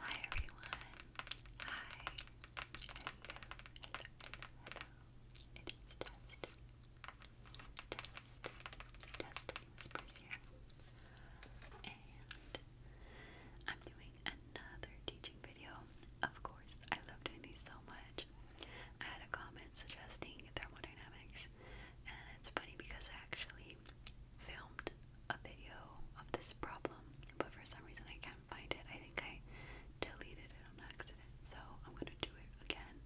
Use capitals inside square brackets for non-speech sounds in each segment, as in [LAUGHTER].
Hi everyone. Hi. Hello. Hello. It is Dust. Dust. Destiny Whispers here. And I'm doing another teaching video. Of course, I love doing these so much. I had a comment suggesting thermodynamics, and it's funny because I actually filmed a video of this problem, but for some reason I can't find it. I think I deleted it on accident, so I'm gonna do it again.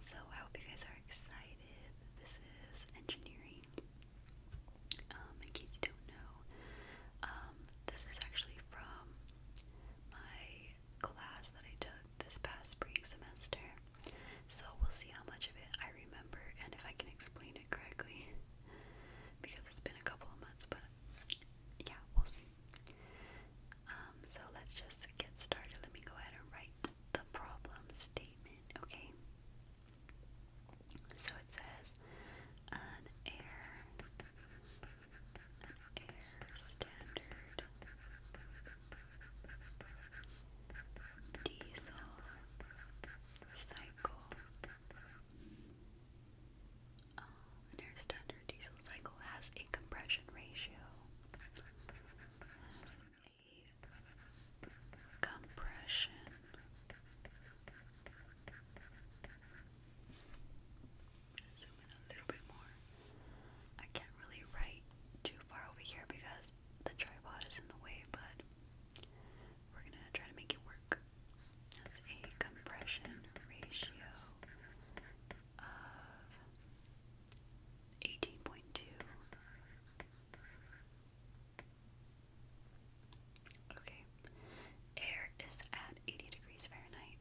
So I hope you guys are excited. This is engineering. Um, in case you don't know, um, this is actually from my class that I took this past spring semester. So we'll see how much of it I remember and if I can explain it correctly because it's been a couple of months, but yeah, we'll see. Um, so let's just get started. Let me go ahead and write the problem statement, okay? So it says an air air standard diesel cycle. Um, uh, and standard diesel cycle has a compression ratio. compression zoom in a little bit more. I can't really write too far over here because the tripod is in the way, but we're gonna try to make it work. That's a compression ratio of 18.2. Okay, air is at 80 degrees Fahrenheit.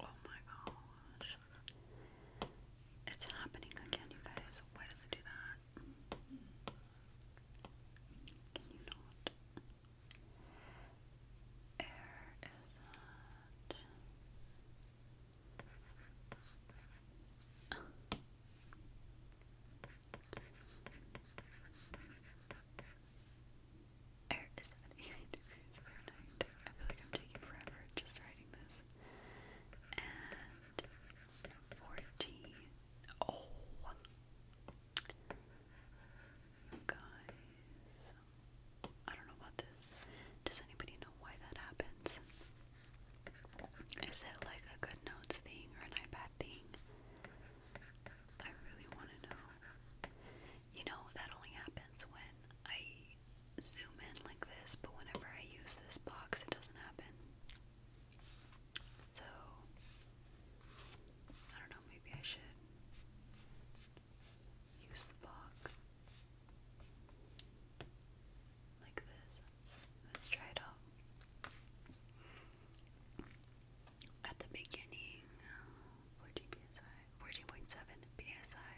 Oh my gosh. It's happening again, you guys. Why does it do that? Can you not? Air is that. Air is at 89 degrees Fahrenheit. I feel like I'm taking forever just writing this and fourteen. Oh, guys, I don't know about this. Does anybody know why that happens? Is it like a good thing or an iPad thing? I really want to know. You know, that only happens when I zoom in like this, but whenever I use this box, it doesn't happen. So, I don't know, maybe I should use the box like this. Let's try it out. At the beginning, 14.7 uh, PSI, 14 PSI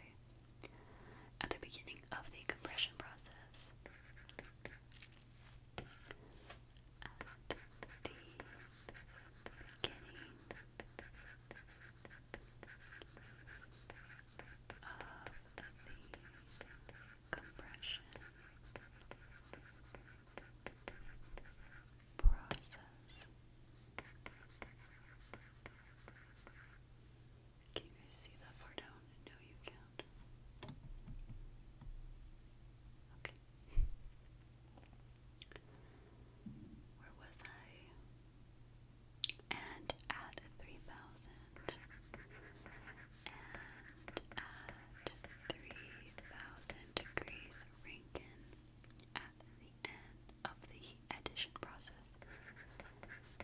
at the beginning of the compression process. At the beginning of the compression process. Can you guys see that far down? No, you can't. Okay. Where was I? And add three thousand. And at three thousand degrees Rankin at the end of the addition process.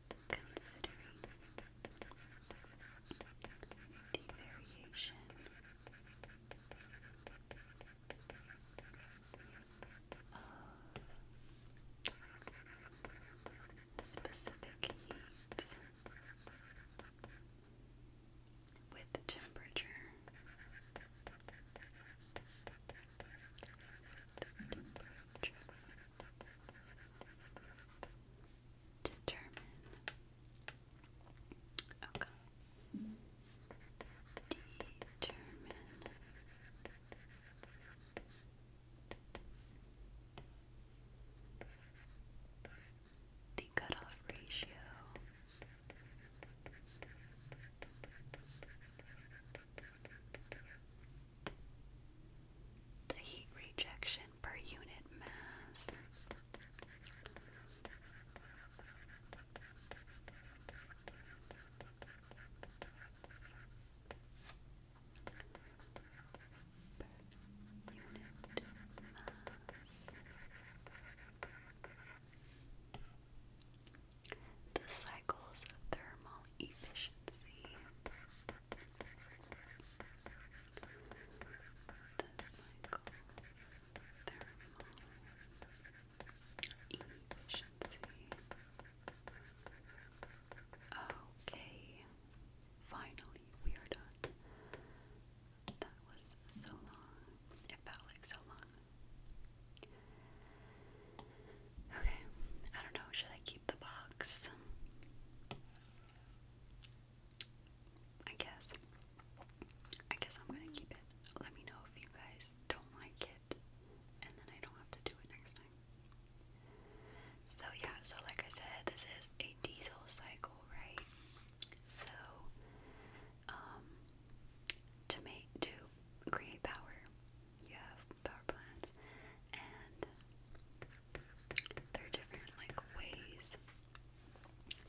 considering the variation of specific heats with temperature determine okay determine the cutoff ratio the heat rejection per unit mass. Per unit mass. The cycles of thermal efficiency. Okay, finally we are done. That was so long. It felt like so long. Okay, I don't know. Should I keep the box? I guess. I guess I'm gonna keep it. Let me know if you guys don't like it, and then I don't have to do it next time. So, yeah, so like I said, this is a diesel cycle, right? So, um, to make to create power, you have power plants, and there are different like ways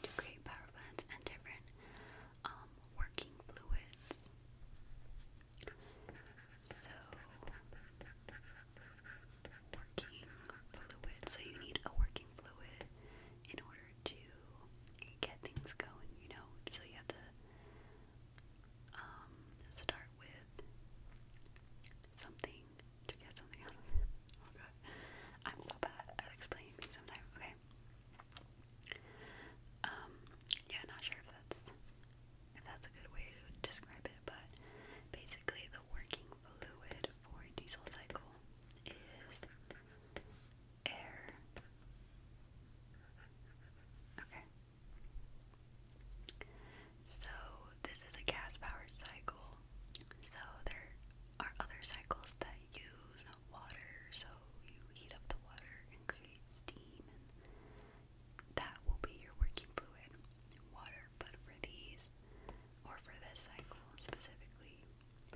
to create power plants and different um, working fluids. So working fluid. So you need a working fluid in order to get things going, you know. So you have to um, start with something to get something out [LAUGHS] oh, I'm so bad at explaining sometimes. Okay. Um, yeah, not sure if that's if that's a good way to describe it, but basically the working fluid for a diesel cycle is air. Okay. So, this is a gas power cycle. So, there are other cycles that use water. So, you heat up the water and create steam, and that will be your working fluid water. But for these, or for this cycle specifically,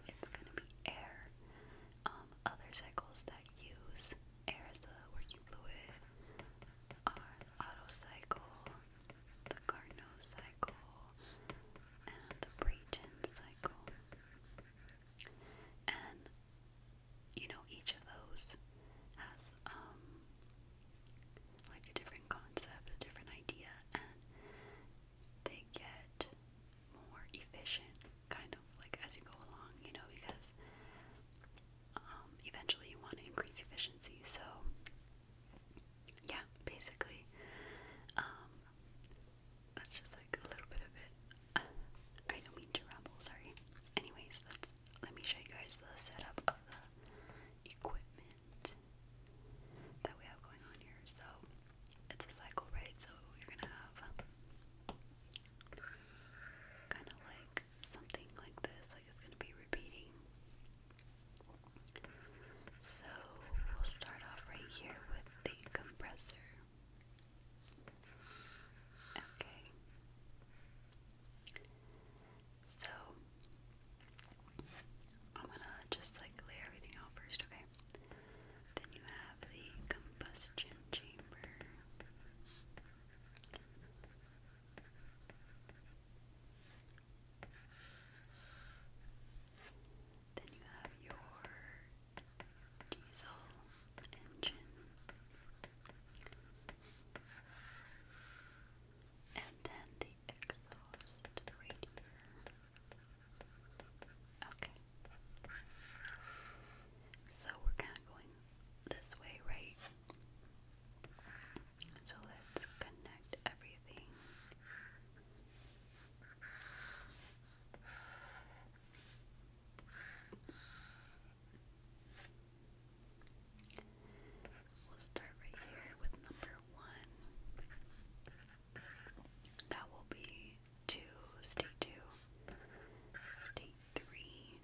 it's going to be air. Um, other cycles that use air is the working fluid. Our auto cycle, the Carnot cycle, and the Brayton cycle. And you know, each of those has um like a different concept, a different idea, and they get more efficient kind of like as you go along, you know, because um, eventually you want to increase efficiency. So, yeah, basically, um, that's just like a little bit of it. [SIGHS] I don't mean to ramble, sorry. Anyways, let's let me show you guys the setup of the equipment that we have going on here. So, it's a cycle, right? So, you're gonna have kind of like something like this, it's going to be repeating. So we'll start off right here with the compressor. Okay. So I'm gonna just like lay everything out first, okay? Then you have the combustion chamber. Then you have your diesel engine, and then the exhaust right Okay. So we're kind of going this way, right? So let's connect everything. We'll start right here with number one. That will be two, stay two, three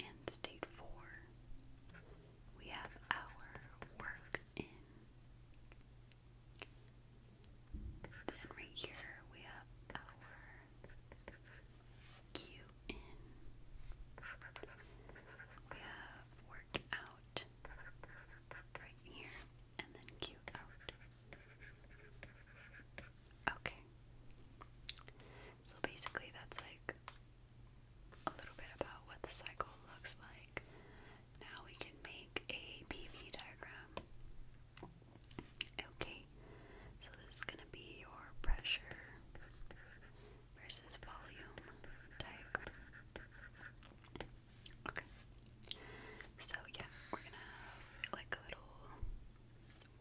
and state four, we have our work in. Then right here we have our Q in. We have work out right here and then Q out. Okay. So basically, that's like a little bit about what the cycle looks like. Now we can make a PV diagram. Okay, so this is going to be your pressure versus volume diagram. Okay, so yeah, we're going to have like a little.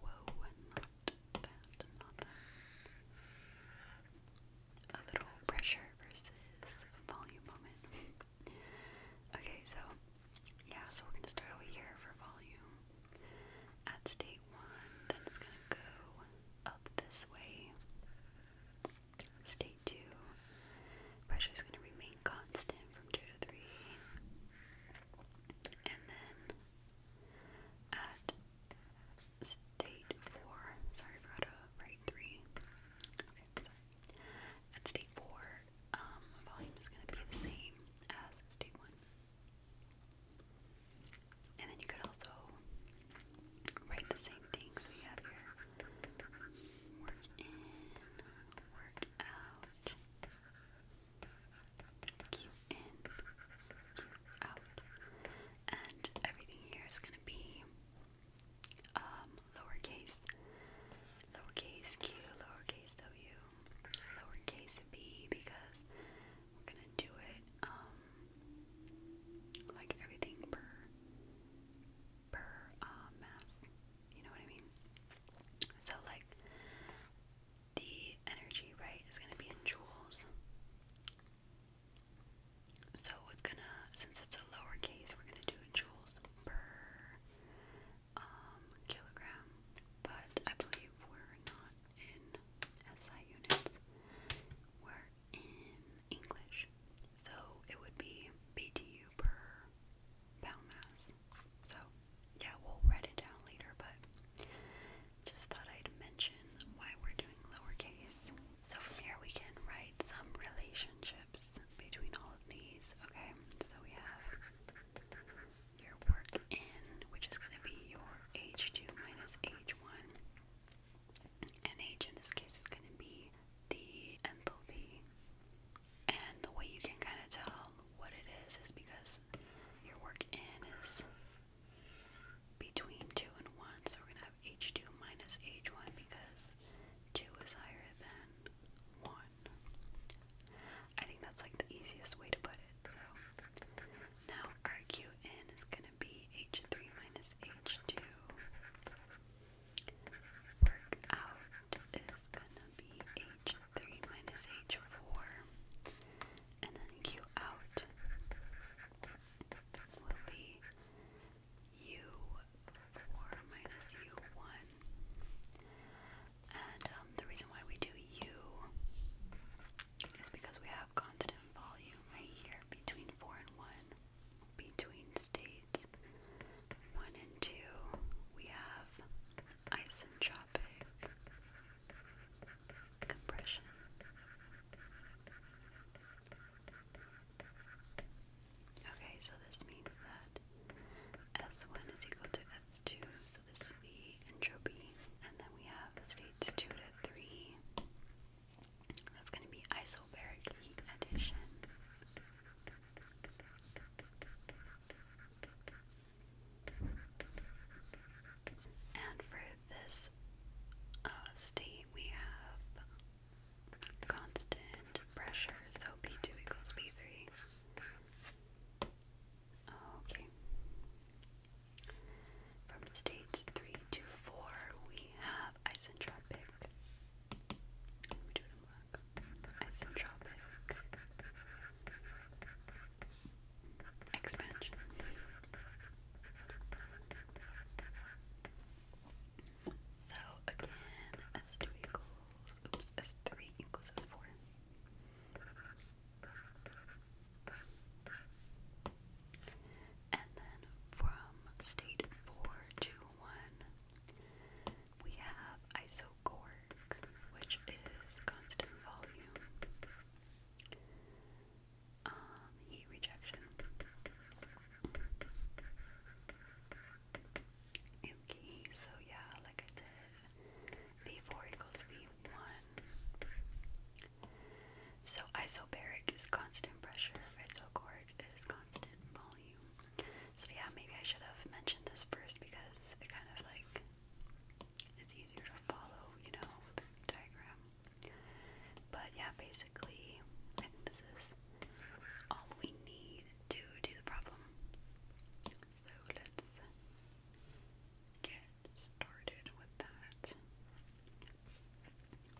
Whoa, a little pressure versus volume moment. [LAUGHS] okay, so yeah, so we're gonna start over here for volume at state one, then it's gonna go up this way. State two, pressure is going to remain constant from two to three, and then at state four. Sorry, write three. At state four, um, volume is going to be the same as state one. And then you could also write the same thing. So you have your work in, work out, Q in, Q out. And everything here is going to be um, lowercase, lowercase q, lowercase w, lowercase b, because we're going to do it um, like everything per, per uh, mass. You know what I mean? So, like, the energy, right, is going to be in joules. So it's going to, since it's a lowercase, we're going to do joules per um, kilogram. But I believe we're not in SI units, we're in English. So it would be BTU per pound mass. So, yeah, we'll write it down later, but just thought I'd mention why we're doing lowercase. So, from here, we can write some relationships between all of these, okay? So, we have your work in, which is going to be your h2 minus h1, and h in this case is going to be the enthalpy. And the way you can kind of tell what it is is because is your work in is between 2 and 1, so we're going to have h2 minus h1 because 2 is higher than 1. I think that's like the easiest way to put it. now RQ in is going to be h3 minus h2. Work out is gonna be h3 minus h4, and then q out will be u4 minus u1. And um, the reason why we do u is because we have constant volume right here between 4 and 1, between states 1 and 2, we have isentropic compression. Okay, so this means that S1 is equal to S2, so this is the entropy, and then we have states 2 to 3. That's going to be isobaric heat addition. And for this uh, state, we have constant pressure, so P2 equals P3. Okay. From states 3 to 4, we have Isentropic expansion. So again, S2 equals, oops, S3 equals S4. And then from state 4 to 1, we have isotropic so which is constant volume. Um, heat rejection. Okay, so yeah, like I said, V4 equals V1. So isobaric is constant pressure, isochoric is constant volume. So yeah, maybe I should have mentioned this first because it kind of like it's easier to follow, you know, the diagram. But yeah, basically, this is all we need to do the problem. So let's get started with that.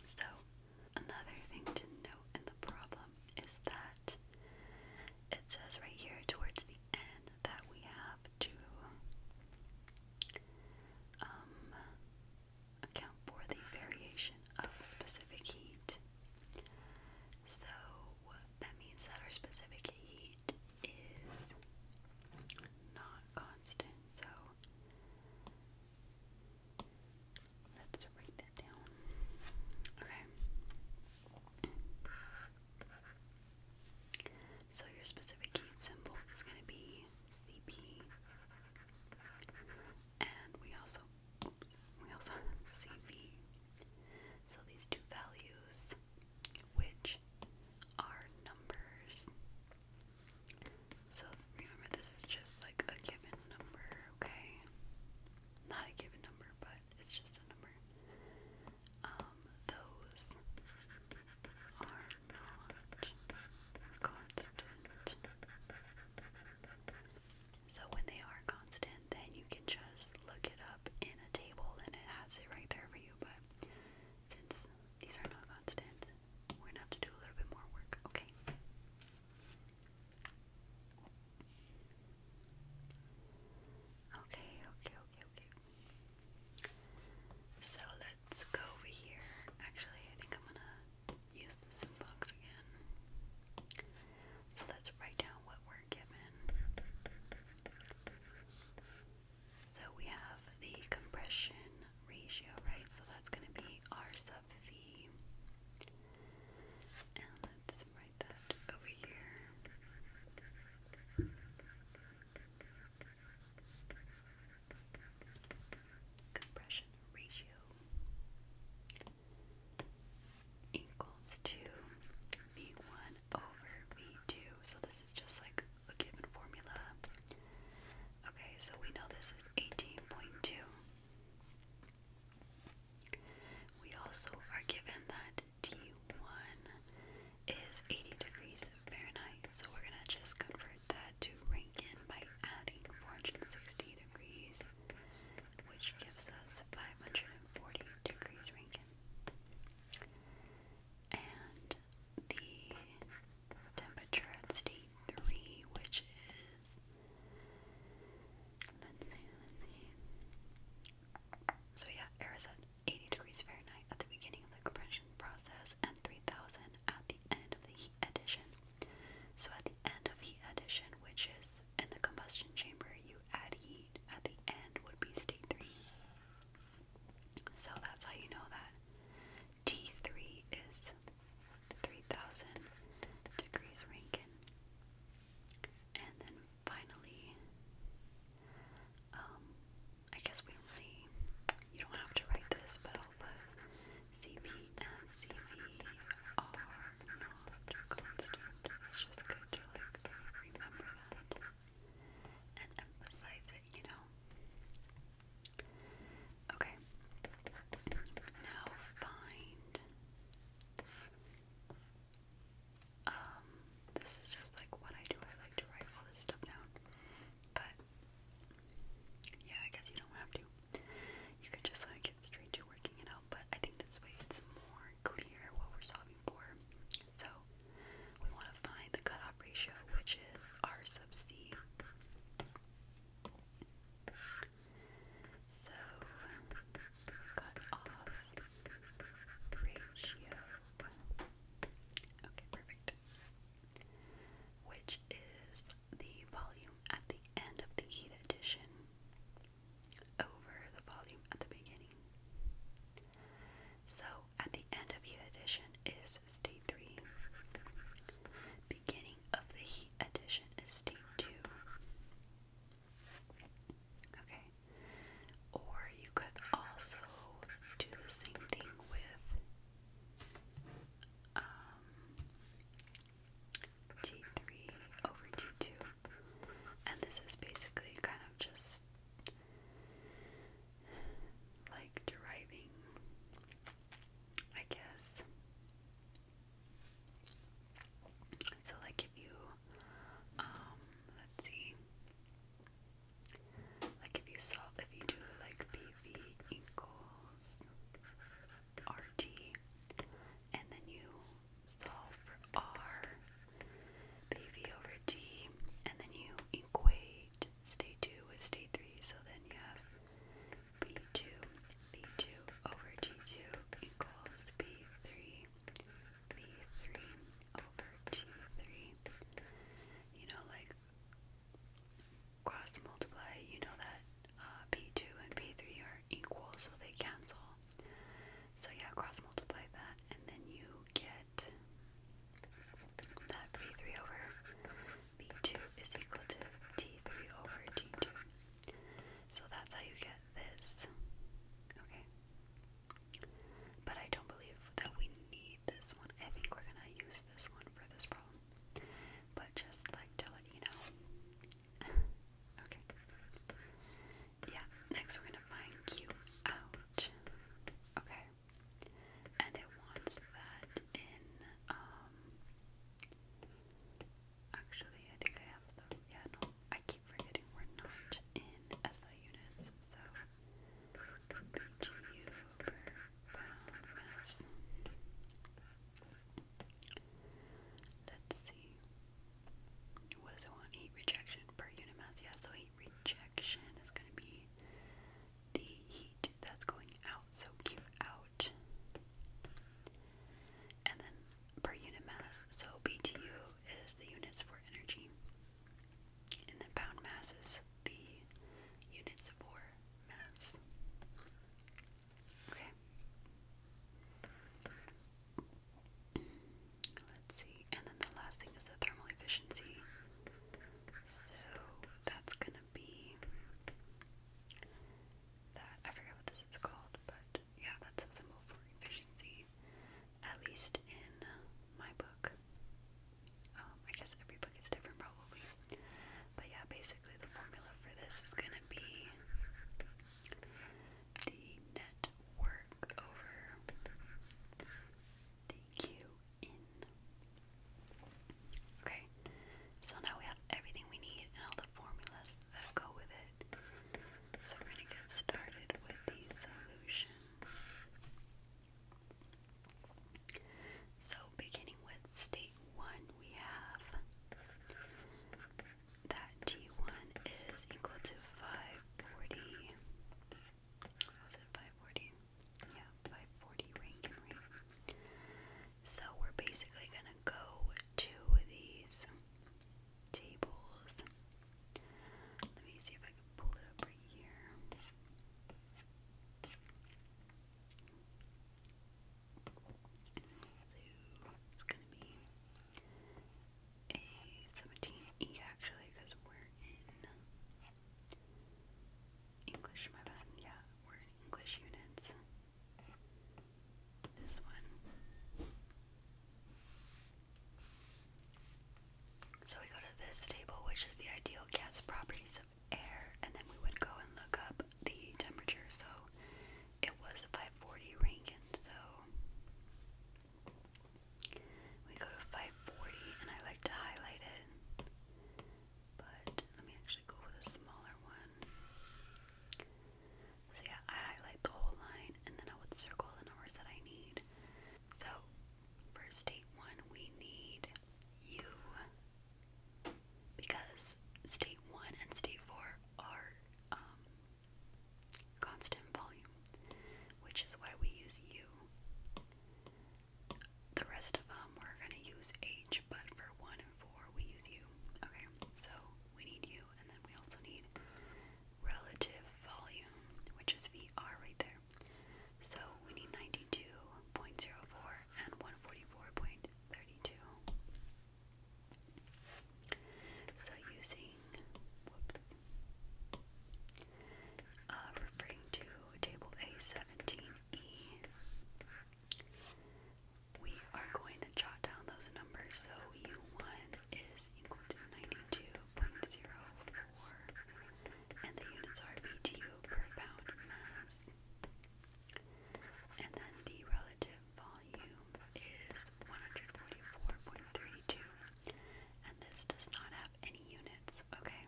So, another thing to note in the problem is that it says right here towards the end that we have to um, account for the variation of specific heat. So that means that our specific heat is not constant. So let's write that down. Okay. So your specific heat symbol is going to be CP, and we also we also CV. So these two values, which are numbers. So remember, this is just like a given number, okay? Not a given number, but it's just a number um, those are not constant. So when they are constant, then you can just look it up in a table and it has it right there for you. But since these are not constant, we're gonna have to do a little bit more work, okay? Okay, okay, okay, okay, so let's go over here. Actually, I think I'm gonna use this box again. So let's write down what we're given. So we have the compression ratio, right? So that's gonna be R sub V. And let's that over here. Compression ratio equals to V1 over V2. So this is just like a given formula. Okay, so we know this is 18.2. We also are given that T1 is 80 degrees Fahrenheit, so we're going to just convert that to Rankin by adding 460 degrees, which gives us 540 degrees Rankin. And the temperature at state 3, which is So yeah, air is 80 degrees Fahrenheit at the beginning of the compression process and 3000 at the end of the heat addition. So at the end of heat addition, which is in the combustion chamber, you add heat at the end would be state 3. So that's how you know that T3 is 3000 degrees Rankine. And then finally, um, I guess we you don't have to write this, but I'll put CP and CV are not constant. It's just good to like remember that and emphasize it, you know. Okay. Now find um, this is just like what I do. I like to write all this stuff down. But yeah, I guess you don't have to. You could just like get straight to working it out. But I think this way it's more clear what we're solving for. So we want to find the cutoff ratio, which is R sub C. So, cut ratio Okay, perfect. Which is the volume at the end of the heat edition over the volume at the beginning. So, at the end of heat edition is state 3. Beginning of the heat edition is state 2. Okay. Or you could also do the same thing with um, G3 over G2. And this is basically kind of just like deriving, I guess. So, like, if you, um, let's see, like if you solve, if you do like PV equals RT, and then you solve for R, PV over T, and then you equate state 2 with state 3, so then you have P2, V2 over T2 equals P3 V3 over T3. You know, like cross multiply, you know that uh, P2 and P3 are equal, so they cancel. So, yeah, cross multiply that, and then you get that P3 over B2 is equal to T3 over T2. So that's how you get this. Okay. But I don't believe that we need this one. I think we're gonna use this one for this problem. But just like to let you know. [LAUGHS] okay. Yeah, next we're gonna find Q out. Okay. And it wants that in um, actually I think I have the yeah no I keep forgetting we're not in SI units, so BGU over mass. Let's see. What does it want? Heat rejection per unit mass. Yeah, so heat rejection is going to be the heat that's going out, so Q out. And then per unit mass. So BTU is the units for energy and then pound mass is the units for mass. Okay. Let's see. And then the last thing is the thermal efficiency. So that's gonna be that. I forget what this is called, but yeah, that's a symbol for efficiency at least in my book. Um, I guess every book is different, probably. But yeah, basically, the formula for this is going to be the net work over the Q in. Okay, so now we have everything we need and all the formulas that go with it. So we're going to get started with the solution. So beginning with state one, we have that G1 is equal to 540. Was it 540? Yeah, 540 Rankin rate. So we're basically going to go two of these tables. Let me see if I can pull it up right here. So it's gonna be a 17E actually, because we're in English, my bad. Yeah, we're in English units. This one. So we go to this table, which is the ideal gas properties of air, and then we would go and look up the temperature. So it was 540 Rankin, so we go to 540, and I like to highlight it. But let me actually go with a smaller one. So yeah, I highlight the whole line, and then I would circle the numbers that I need. So, for state one, we need you because state one and state four are um, constant volume, which is why we use U. The rest of them we're gonna use H, but for one and four we use you. Okay, so we need you, and then we also need relative volume, which is VR right there. So we need 92.04 and 144.32. So using, uh, referring to table A17E, we are going to jot down those numbers. So U1 is equal to 92 and the units are BTU per pound mass. And then the relative volume is 144.32, and this does not have any units, okay?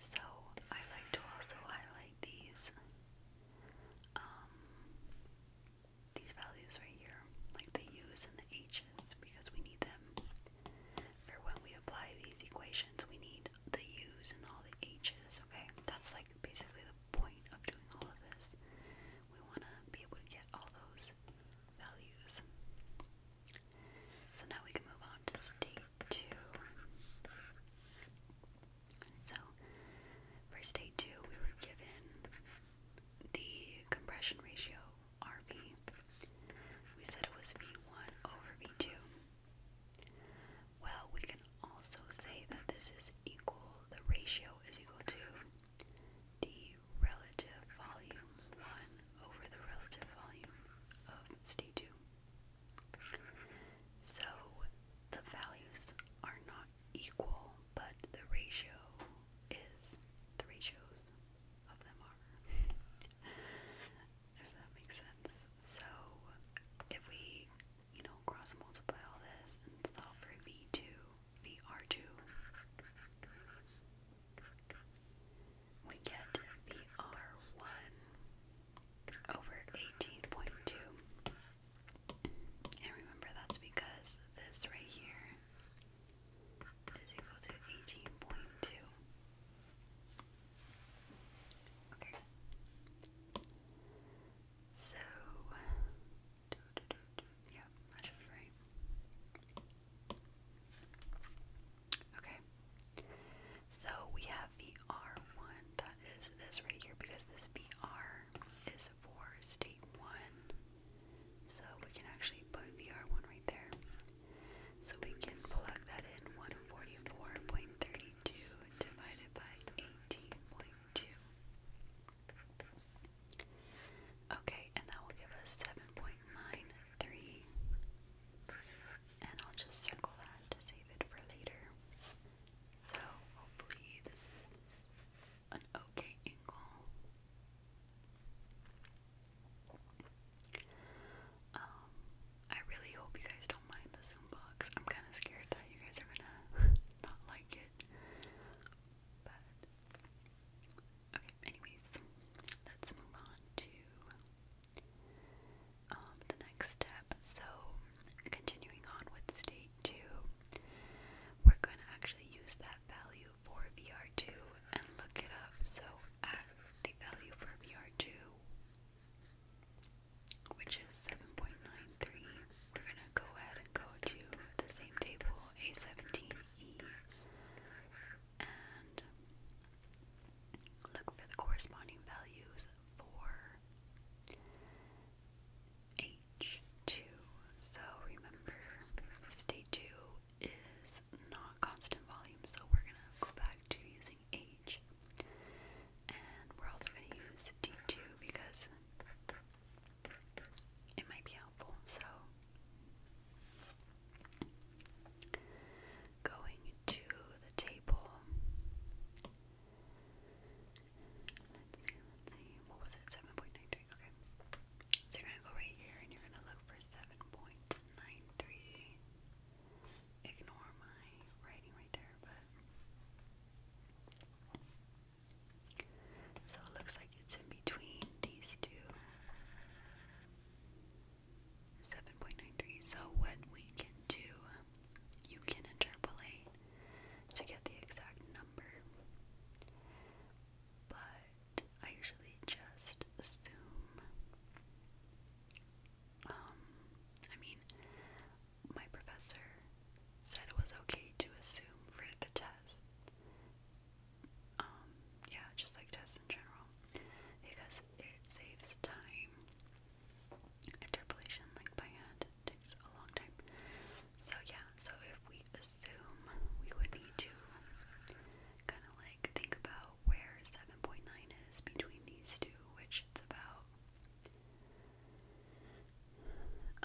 So I like to also highlight these um, these values right here, like the U's and the H's, because we need them for when we apply these equations. We need the U's and all the H's, okay? That's like basically the point of doing all of this. We want to be able to get all those values. So now we can move on to state two. So, for state two, we were given the compression ratio, RV, we said it was V1 over V2. Well, we can also say that this is equal, the ratio is equal to the relative volume 1 over the relative volume of state 2. So the values are not equal, but the ratio is the ratios of them are. [LAUGHS] if that makes sense. So if we, you know, cross multiply all this and solve for V2, VR2, we get VR1 over 18.2. And remember, that's because this right here is equal to 18.2. Okay. So, yeah, Okay. So we have the R that is this right here, because this VR is for state 1 so we can actually put VR1 right there. So we can plug that in 144.32 divided by 18.2. Okay, and that will give us 7.93. And I'll just circle that to save it for later. So hopefully this is okay angle. Um, I really hope you guys don't mind the Zoom box. I'm kind of scared that you guys are gonna [LAUGHS] not like it. But, okay, anyways, let's move on to um, the next step. So, continuing on with state 2. We're going to actually use that value for VR2 and look it up. So, at the value for VR2, which is 7.93, we're going to go ahead and go to the same table, A17E, and look for the corresponding values for H2. So remember, day 2 is not constant volume, so we're going to go back to using H. And we're also going to use D2 because it might be helpful. So going to the table what was it? 7.93. Okay. So you're gonna go right here and you're gonna look for 7.93. Ignore my writing right there, but so it looks like it's in between these two. 7.93. So what we can do, you can interpolate to get the exact number, but I usually just assume. Um, I mean, my professor said it was okay to assume for the test. Um, yeah, just like tests in general, because it saves time. Interpolation, like by hand, takes a long time. So yeah, so if we assume we would need to kind of like think about where 7.9 is between these two, which it's about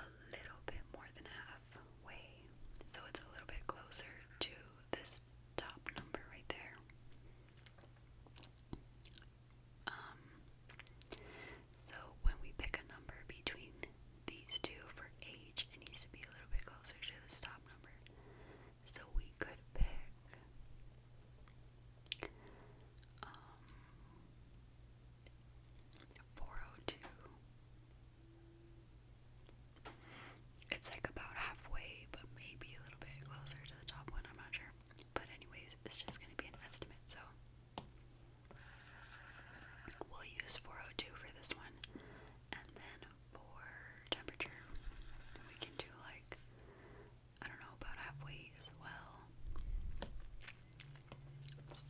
a little bit more than halfway. So it's a little bit closer to this top number right there. Um, so when we pick a number between these two for age, it needs to be a little bit closer to the top number. So we could pick um, 402. It's like about halfway, but maybe a little bit closer to the top one, I'm not sure. But anyways, it's just gonna be an estimate, so We'll use 402 for this one. And then for temperature, we can do like, I don't know, about halfway as well. So,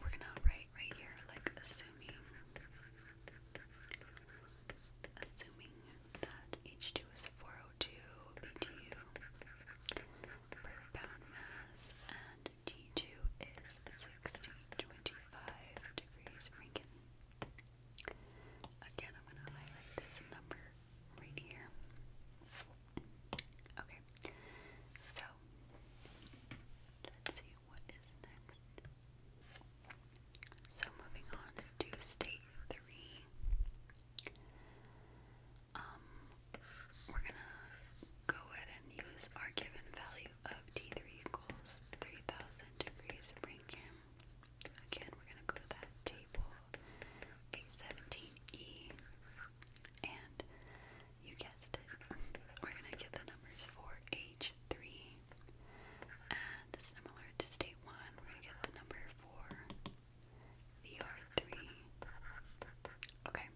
we're gonna write right here, like, assuming. Assuming that H2 it 402 BTU per pound mass, and t is 1625 degrees Rankin. Again, I'm going to highlight this number right here. Okay, so let's see what is next. So, moving on to state three. Um, we're gonna go ahead and use our given value of T3 equals 3000 degrees Rankin. Again, we're gonna go to that table, 817E, and you guessed it, we're gonna get the numbers for H3, and similar to state 1, we're gonna get the number for VR3. Okay.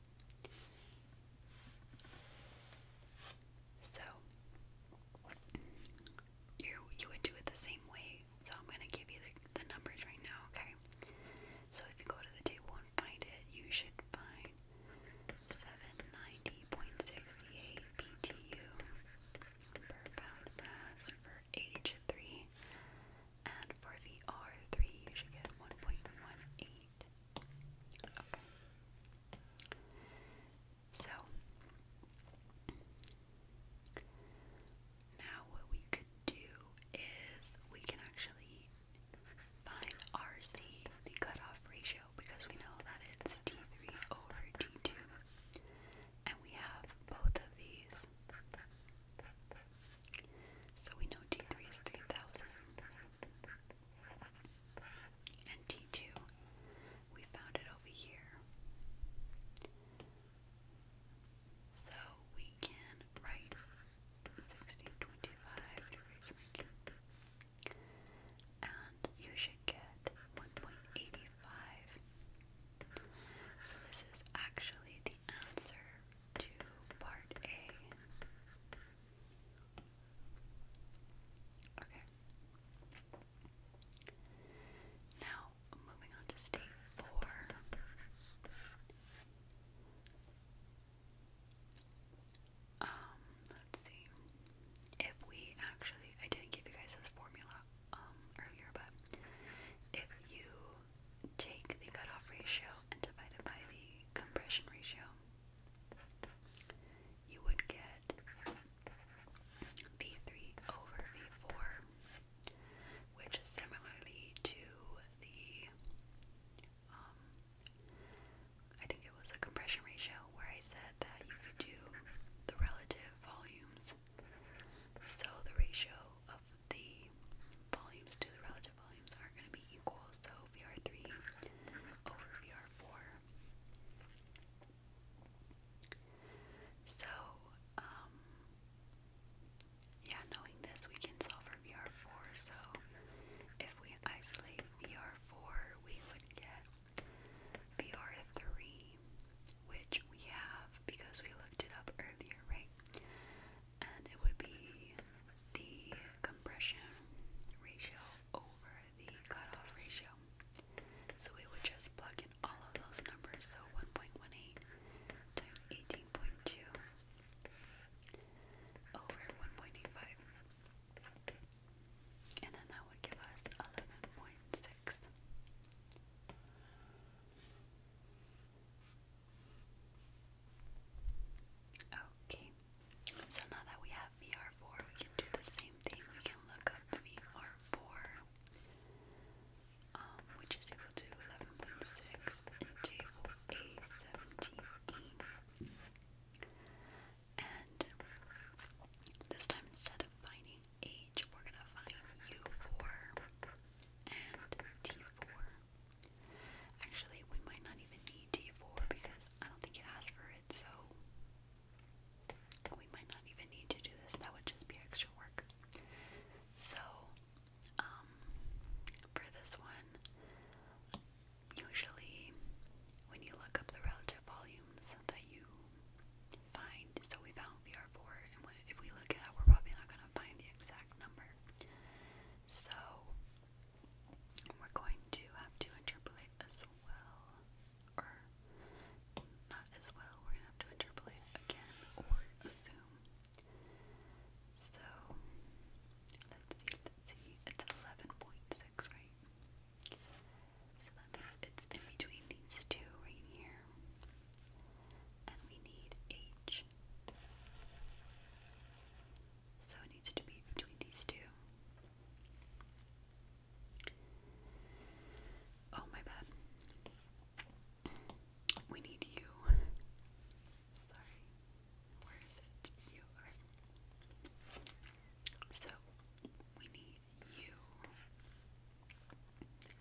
So you you would do it the same way. So I'm gonna give you the, the numbers right now, okay? So if you go to the table and find it, you should find 790.68 BTU per pound mass for for 3 and for VR3 you should get 1.18 okay so now what we could do is we can actually find RC, the cutoff ratio, because we know that it's D3 over D2. And we have both of these. So we know T3 is 3000. And T2, we found it over here. So we can write 1625 degrees And you should get 1.85. So this is actually the answer to part A. Okay. Now, moving on to state four. Um, let's see. If we actually, I didn't give you guys this formula um, earlier, but if you take the cutoff ratio and divide it by the compression ratio, you would get V3 over V4, which is similarly to the, um, I think it was a compression ratio where I said that you could do the relative volumes. So the ratio of the volumes to the relative volumes are going to be equal, so VR3 over VR4. So, um, yeah, knowing this, we can solve for VR4, so if we isolate VR4, we would get VR3 which we have because we looked it up earlier, right? And it would be the compression ratio over the cutoff ratio. So we would just plug in all of those numbers. So 1.18 times 18.2 over 1.85. And then that would give us 11.6. Okay, so now that we have VR4, we can do the same thing. We can look up VR4, um, which is equal to 11.6 into a 17 And this time, instead of finding a we're going to find U4 and T4. Actually, we might not even need T4 because I don't think it asks for it, so we might not even need to do this. That would just be extra work. So, um, for this one, usually when you look up the relative volumes that you find, so we found VR4, and if we look it we're probably not going to find the exact number. So, we're going to have to interpolate as well, or not as well, we're going to have to interpolate again or assume. So, let's see, let's see, it's 11.6, right? So that means it's in between these two right here and we need H. So it needs to be between these two. Oh, my bad. We need U. Sorry. Where is it? U. Okay. So we need U.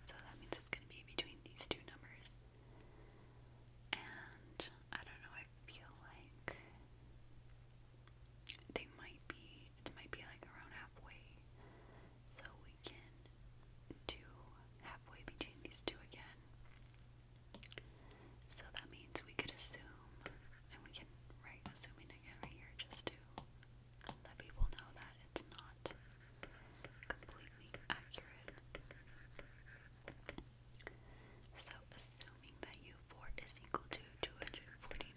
So that means it's going to be between these two numbers. And I don't know, I feel like they might be, it might be like around halfway. So we can do halfway between these two again. So that means we could assume, and we can write assuming again right here just to let people know that it's not not completely accurate. So, assuming that u4 is equal to 249,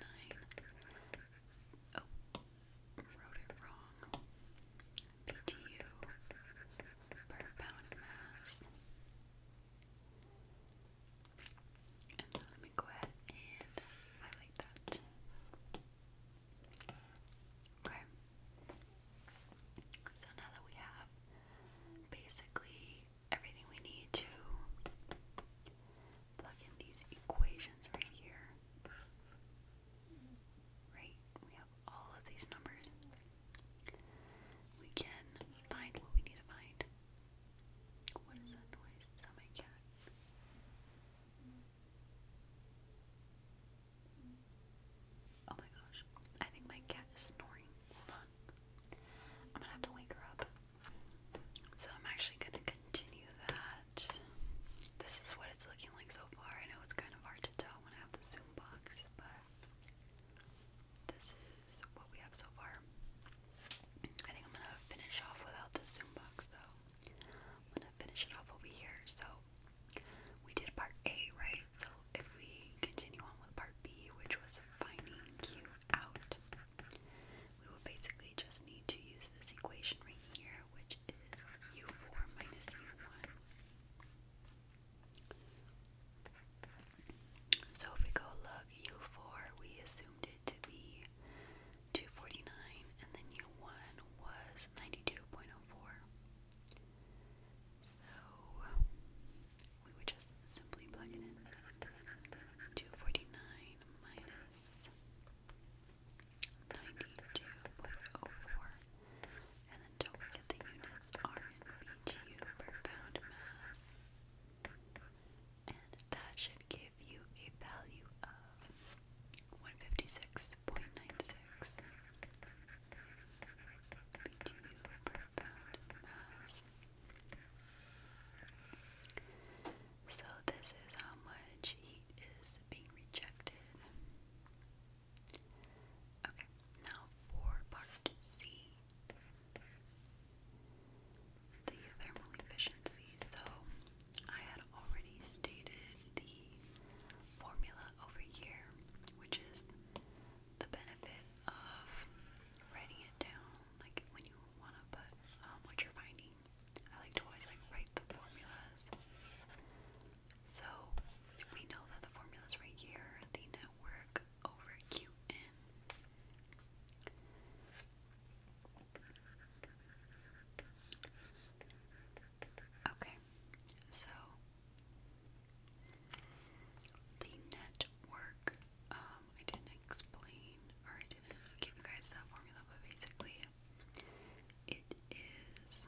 oh, wrote it wrong. BTU per pound mass. And let me go ahead and highlight that. Okay. So now that we have basically everything we need to plug in these equations right here. Right? We have all of these numbers. We can find what we need to find. What is that noise? Is that my cat? Oh my gosh. I think my cat is snoring. Hold on. I'm gonna have to wake her up. So I'm actually gonna continue that. This is what it's looking like so far. I know it's kind of hard to tell when I have the zoom box, but this is what we have so far. I think I'm gonna finish off without the zoom box though. I'm finish it off over here. So we did part A, right? So if we continue on with part B, which was finding Q out, we would basically just need to use this equation right here, which is U4 minus U1. So if we go look, U4, we assumed it to be 249, and then U1 was 92.04. So we would just simply plug it in. 249 minus 92.04. And then don't forget the units are in BTU per pound mass. And that should give you a value of 156.96 BTU per pound mass. So this is how much heat is being rejected. Okay, now for part C. The thermal efficiency. So I had already stated the formula over here, which is the benefit of writing it down, like when you want to put um, what you're finding. I like to always like write the formulas. So we know that the formula is right here, the network over Qn. Okay, so the network, um, I didn't explain or I didn't give you guys that formula, but basically it is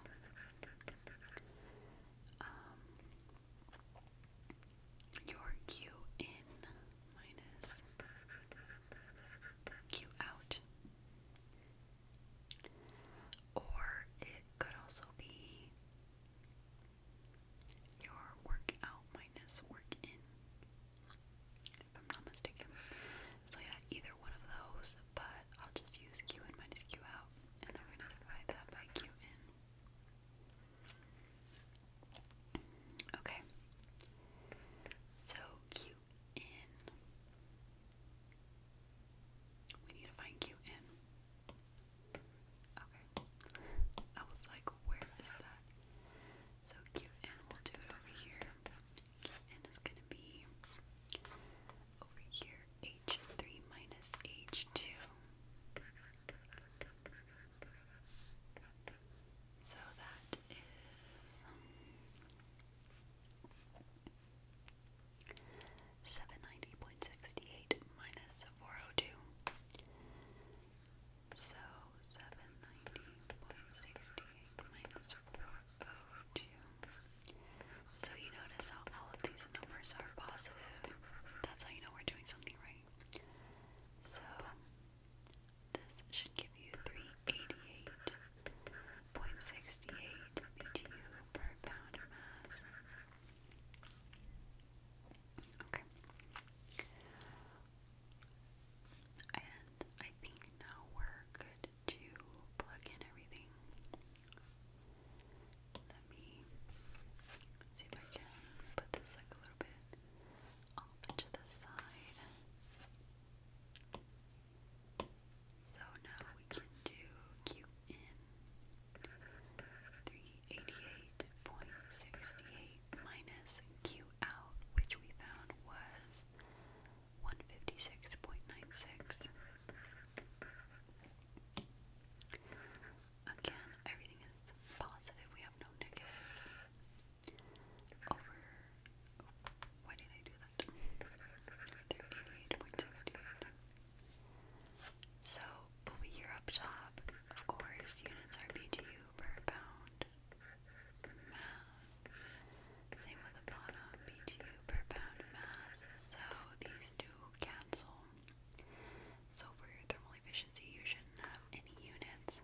um, your Q in minus Q out or it could also be your workout minus work in, if I'm not mistaken. So, yeah, either one of those, but I'll just use Q in minus Q out, and then we're going to divide that by Q in. Okay. So, Q we need to find you in. Okay. I was like, where is that? So cute in, we'll do it over here. Cute in is gonna be over here, H3 minus H2. So that is 790.68 minus 402. So 790.68 minus 402. So you notice how all of these numbers are positive. That's how you know we're doing something right. So this should give you 388 0.68 BTU per pound mass. Okay. And I think now we're good to plug in everything. Let me see if I can put this like a little bit off to the side. So now we can do Q in 388.68 minus Q out, which we found was 156.96. Again, everything is positive. We have no negatives. Over. why did I do so over here up top, of course, units are BTU per pound mass. Same with the bottom, BTU per pound mass. So these do cancel. So for your thermal efficiency, you shouldn't have any units.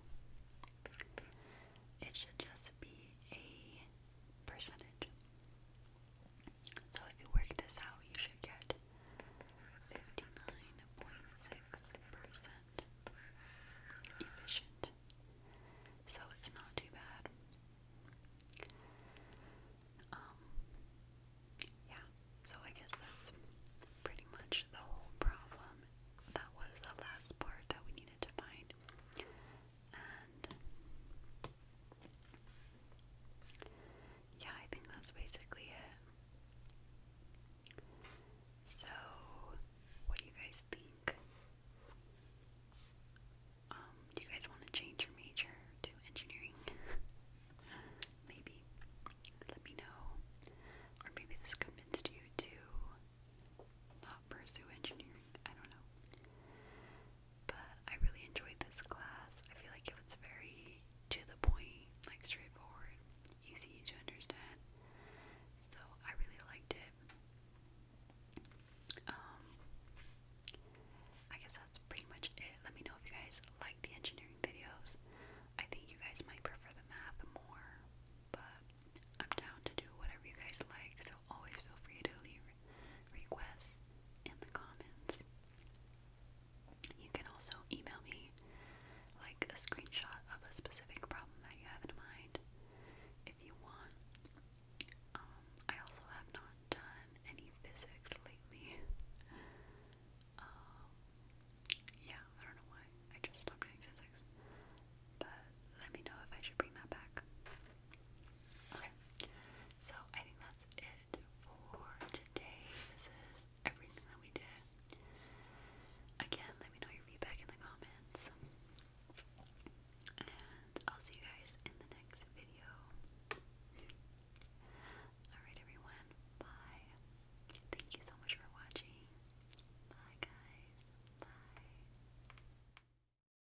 It should just be a percentage. So if you work this out, you should get 59.6% efficient. So it's not too bad. Um, yeah, so I guess that's pretty much the whole problem. That was the last part that we needed to find yeah, I think that's basically it. So, what do you guys think? Um, do you guys want to change your major to engineering? maybe. Let me know. Or maybe this convinced you to not pursue engineering. I don't know. But I really enjoyed this class. I feel like it was very to the point, like straightforward, easy to understand. So I really liked it. Um, I guess that's pretty much it. Let me know if you guys like the engineering videos. I think you guys might prefer the math more, but I'm down to do whatever you guys like, so always feel free to leave requests in the comments. You can also email me like a screenshot of a specific problem that you have in mind if you want. Um, I also have not done any physics lately. [LAUGHS] Um, yeah, I don't know why. I just stopped doing physics. But let me know if I should bring that back. Okay, so I think that's it for today. This is everything that we did. Again, let me know your feedback in the comments. And I'll see you guys in the next video. Alright, everyone. Bye. Thank you so much for watching. Bye, guys. Bye.